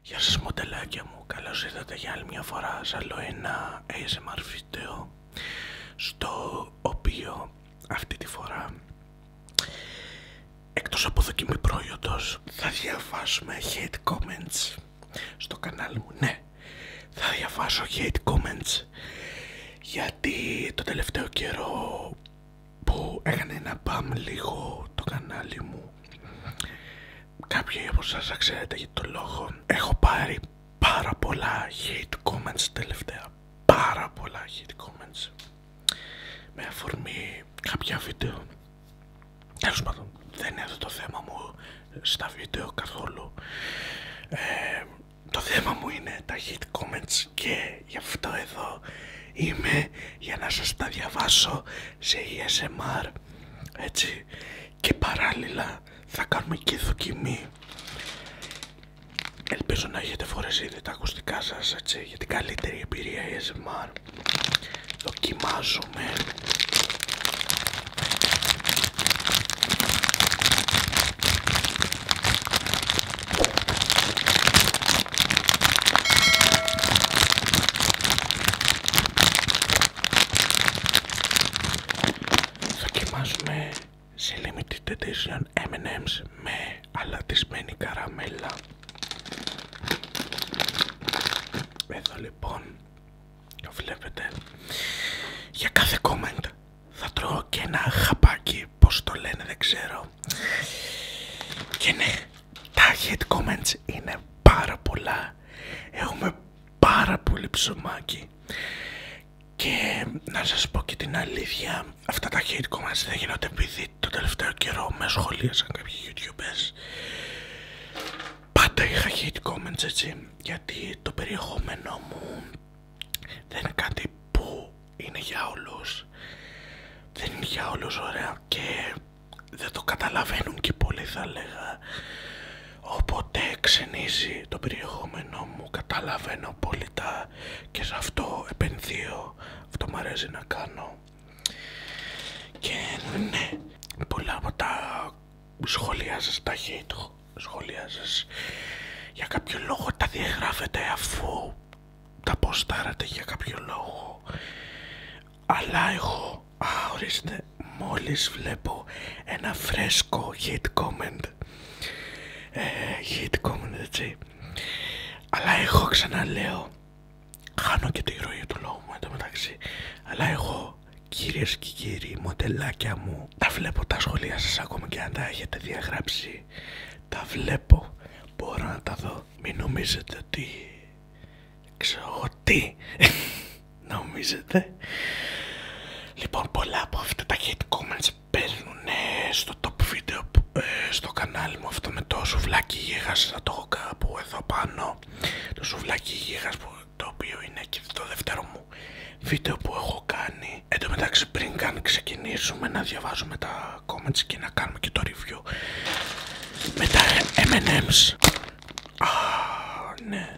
Γεια σας μοντελάκια μου, καλώς ήρθατε για άλλη μια φορά σε άλλο ένα ASMR βίντεο στο οποίο αυτή τη φορά εκτός από δοκιμή προϊόντος θα διαβάσουμε hate comments στο κανάλι μου, ναι θα διαβάσω hate comments γιατί το τελευταίο καιρό που έκανε ένα μπαμ λίγο το κανάλι μου Κάποιοι από σας ξέρετε για τον λόγο έχω πάρει πάρα πολλά hate comments τελευταία. Πάρα πολλά hate comments. Με αφορμή κάποια βίντεο. Τέλος δεν είναι αυτό το θέμα μου στα βίντεο καθόλου. Ε, το θέμα μου είναι τα hate comments και γι' αυτό εδώ είμαι για να σας τα διαβάσω σε ESMR έτσι και παράλληλα θα κάνουμε και δοκιμή ελπίζω να έχετε φορέσει ήδη τα ακουστικά σας έτσι για την καλύτερη εμπειρία ASMR e δοκιμάζουμε Δοκιμάζουμε σε limited edition M&M's με αλατισμένη καραμέλα. Εδώ λοιπόν το βλέπετε. Για κάθε comment θα τρώω και ένα χαπάκι, πως το λένε δεν ξέρω. Και ναι, τα hate comments είναι πάρα πολλά. Έχουμε πάρα πολύ ψωμάκι. Και να σας πω και την αλήθεια, αυτά τα hate comments δεν γίνονται επειδή το τελευταίο καιρό με σχολίασαν κάποιοι youtubers. Πάντα είχα hate comments έτσι, γιατί το περιεχόμενό μου δεν είναι κάτι που είναι για όλους δεν είναι για όλους ωραία και δεν το καταλαβαίνουν και πολύ θα λέγα οπότε ξενίζει το περιεχόμενό μου καταλαβαίνω τα και σε αυτό επενδύω αυτό μου να κάνω και ναι πολλά από τα σχόλια σας τα hate σχόλια για κάποιο λόγο τα διαγράφετε αφού τα ποστάρατε για κάποιο λόγο αλλά εγώ α, ορίστε μόλις βλέπω ένα φρέσκο hit comment ε, hit comment έτσι αλλά εγώ ξαναλέω χάνω και τη ροή του λόγου μου μεταξύ αλλά εγώ κυρίες και κύριοι μοντελάκια μου τα βλέπω τα σχολεία σας ακόμα και αν τα έχετε διαγράψει τα βλέπω, μπορώ να τα δω. Μην νομίζετε ότι ξέρω τι νομίζετε. Λοιπόν, πολλά από αυτά τα hate comments παίρνουν στο top video ε, στο κανάλι μου αυτό με το σουβλάκι γίγας θα το έχω κάπου εδώ πάνω το σουβλάκι γίγας που, το οποίο είναι και το δεύτερο μου βίντεο που έχω κάνει εν τω μεταξύ πριν ξεκινήσουμε να διαβάζουμε τα comments και να κάνουμε και το review με τα M&M's. ναι.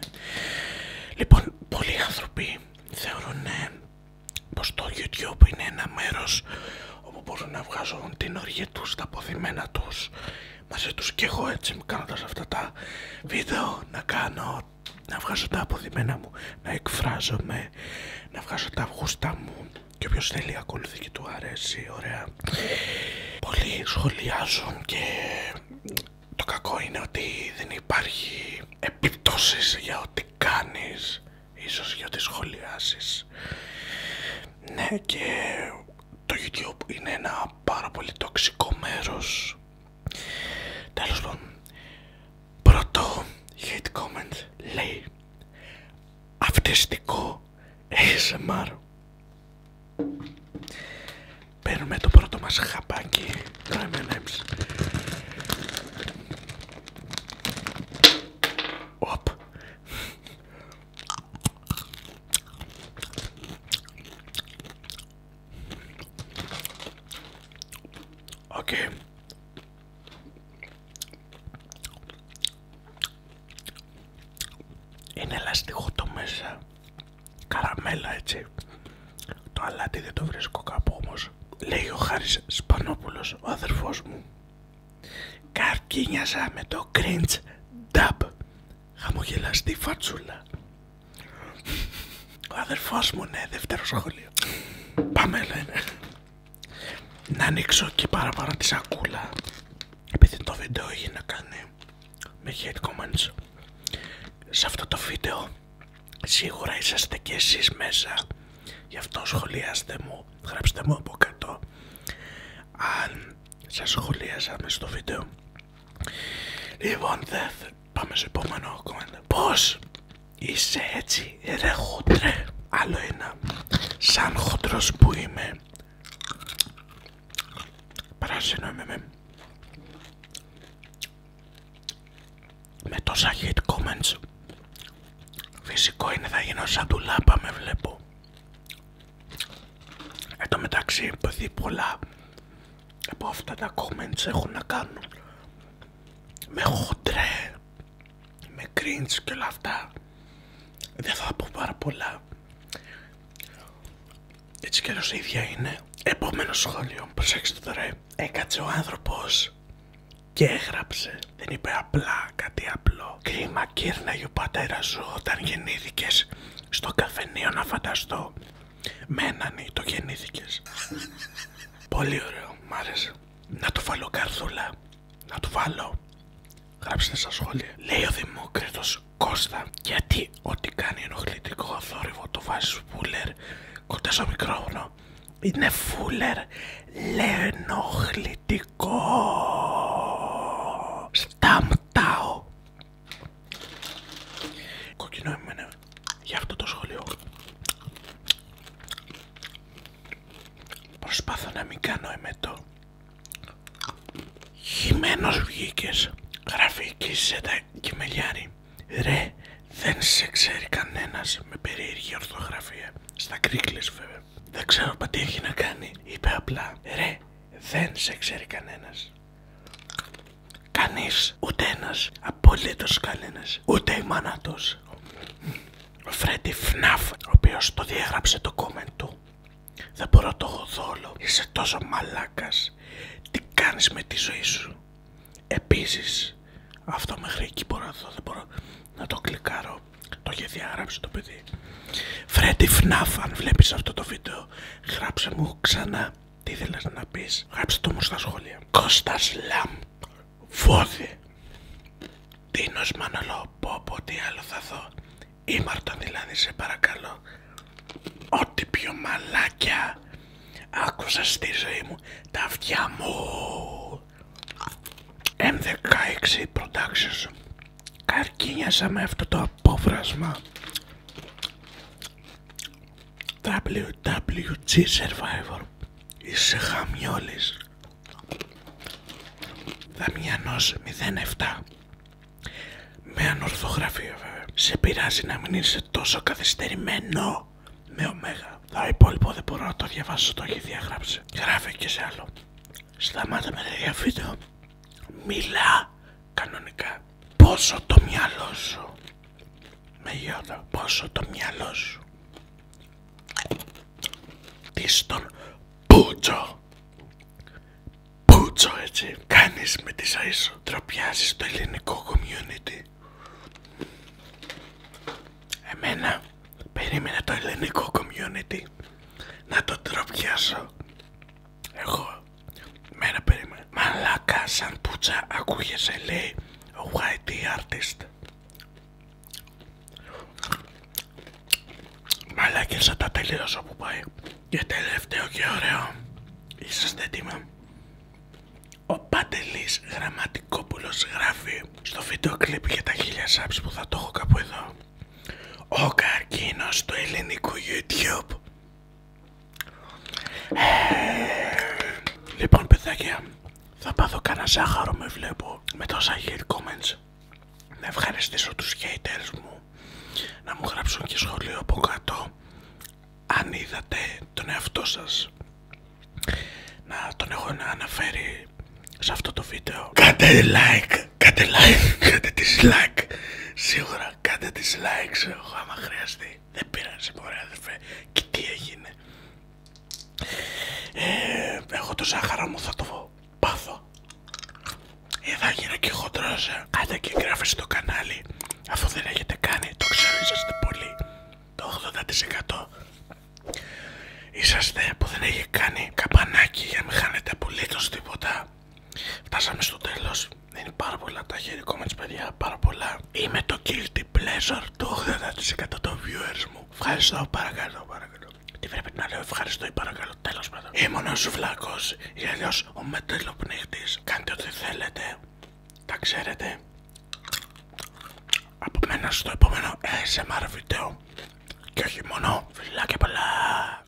Λοιπόν, πολλοί άνθρωποι θεωρούν ε, πως το YouTube είναι ένα μέρος όπου μπορούν να βγάζουν την οργή τους, τα αποθυμένα τους μαζί τους και εγώ έτσι κάνοντας αυτά τα βίντεο να κάνω, να βγάζω τα αποθυμένα μου, να εκφράζομαι να βγάζω τα γούστα μου και όποιος θέλει ακολουθεί και του αρέσει, ωραία. Πολλοί σχολιάζουν και το κακό είναι ότι δεν υπάρχει επιπτώσεις για ό,τι κάνεις, ίσως για ό,τι σχολιάσεις. Ναι και το YouTube είναι ένα πάρα πολύ τοξικό μέρος. Τέλος πάντων, Πρώτο hate comment λέει Αυτιστικό ASMR Παίρνουμε το πρώτο μας χαπάκι Το M&M's Οπ Οκ okay. Είναι ελαστικό το μέσα, καραμέλα έτσι. Το αλάτι δεν το βρίσκω κάπου όμως. Λέει ο Χάρης Σπανόπουλος, ο αδερφός μου. Καρκίνιασα με το cringe dub. Χαμογελαστή φατσούλα. Ο αδερφός μου, ναι, δεύτερο σχολείο. Πάμε λένε. Να ανοίξω και πάρα πάρα τη σακούλα. Επειδή το βίντεο είχε να κάνει με hate comments. Σε αυτό το βίντεο σίγουρα είσαστε και εσείς μέσα. Γι' αυτό σχολιάστε μου, γράψτε μου από κάτω. Αν σας σχολιάσαμε στο βίντεο. Λοιπόν, δεν Πάμε στο επόμενο κομμάτι. Πώς είσαι έτσι ρε χοντρέ. Άλλο ένα. Σαν χοντρός που είμαι. Πράσινο είμαι με. Με τόσα hate comments. Φυσικό είναι θα γίνω σαν τουλάπα με βλέπω. Εν τω μεταξύ επειδή πολλά από αυτά τα comments έχουν να κάνουν με χοντρέ, με κριντς και όλα αυτά. Δεν θα πω πάρα πολλά. Έτσι και η ίδια είναι. Επόμενο σχόλιο, προσέξτε τώρα. Έκατσε ο άνθρωπος και έγραψε. Δεν είπε απλά κάτι απλό. Κρίμα κύρναγε ο πατέρα σου όταν γεννήθηκες στο καφενείο να φανταστώ. Με έναν ή το γεννήθηκες. Πολύ ωραίο, μ' άρεσε. Να του βάλω καρδούλα. Να του βάλω. Γράψτε στα σχόλια. Λέει ο Δημόκρητο Κώστα, γιατί ό,τι κάνει ενοχλητικό θόρυβο το βάζει φούλερ κοντά στο μικρόφωνο. Είναι φούλερ ενοχλητικό Σταμτάω. Κοκκινό εμένα για αυτό το σχολείο. Προσπάθω να μην κάνω εμετό. Χειμένος βγήκες, γράφει η τα Ρε, δεν σε ξέρει κανένας με περίεργη ορθογραφία. Στα κρίκλες βέβαια. Δεν ξέρω τι έχει να κάνει. Είπε απλά, ρε, δεν σε ξέρει κανένας. Κανείς, ούτε ένας, απολύτως κανένας, ούτε η μάνα τους. Ο Φρέντι Φναφ, ο οποίος το διαγράψε το κόμμα του. Δεν μπορώ το έχω Είσαι τόσο μαλάκας. Τι κάνεις με τη ζωή σου. Επίσης, αυτό μέχρι εκεί μπορώ να δω, δεν μπορώ να το κλικάρω. Το είχε διαγράψει το παιδί. Φρέντι Φναφ, αν βλέπεις αυτό το βίντεο, γράψε μου ξανά τι ήθελες να πεις, γράψτε το μου στα σχόλια. Κώστας Λαμ, Βόδι, Τίνος Μανολό, πω τι άλλο θα δω. Ήμαρτον δηλαδή, σε παρακαλώ. Ό,τι πιο μαλάκια άκουσα στη ζωή μου, τα αυτιά μου. M16 Productions. Καρκίνιασα με αυτό το απόφρασμα. WWG Survivor Είσαι χαμιόλης Δαμιανός 07 Με ανορθογραφία βέβαια Σε πειράζει να μην είσαι τόσο καθυστερημένο Με ωμέγα Το υπόλοιπο δεν μπορώ να το διαβάσω Το έχει διαγράψει Γράφει και σε άλλο Σταμάτα με τα βίντεο Μιλά κανονικά Πόσο το μυαλό σου. Με γιώτα, πόσο το μυαλό σου. Τι στον Πούτσο. Πούτσο έτσι. Κάνεις με τη αΐσου, Τροπιάζεις το ελληνικό community. Εμένα περίμενε το ελληνικό community να το τροπιάσω. Εγώ, μένα περίμενα. Μαλάκα σαν πουτσα ακούγεσαι λέει YT artist. σαν τα τελείωσα που πάει. Και τελευταίο και ωραίο. Είσαστε έτοιμοι. Ο Πατελής Γραμματικόπουλος γράφει στο βίντεο κλιπ για τα χίλια subs που θα το έχω κάπου εδώ. Ο καρκίνος του ελληνικού YouTube Λοιπόν παιδάκια, θα πάθω κανένα ζάχαρο με βλέπω με τόσα hate comments. Να ευχαριστήσω τους haters μου, να μου γράψουν και σχολείο από κάτω αν είδατε τον εαυτό σας να τον έχω να αναφέρει σε αυτό το βίντεο. Κάντε like, κάντε like, κάντε dislike, σίγουρα. Κάντε τι likes, άμα χρειαστεί. Δεν πειράζει, μωρέ, αδερφέ. Και τι έγινε. Ε, εγώ το ζάχαρο μου θα το πάθω. Ε, θα γίνω και χοντρός. Κάντε ε. και εγγράφε στο κανάλι. Αφού δεν έχετε κάνει, το ξέρω, είσαστε πολύ. Το 80%. Είσαστε που δεν έχει κάνει καμπανάκι για να μην χάνετε απολύτως τίποτα. Φτάσαμε στο τέλος. Είναι πάρα πολλά τα χέρια παιδιά, πάρα πολλά. Είμαι το guilty pleasure του 80% των viewers μου. Ευχαριστώ, παρακαλώ, παρακαλώ. Τι πρέπει να λέω, ευχαριστώ ή παρακαλώ, τέλος πάντων. Ήμουν ο Σουβλάκος ή αλλιώς ο μετελοπνίχτης. Κάντε ό,τι θέλετε, τα ξέρετε. Από μένα στο επόμενο SMR βίντεο. Και όχι μόνο, φιλά πολλά.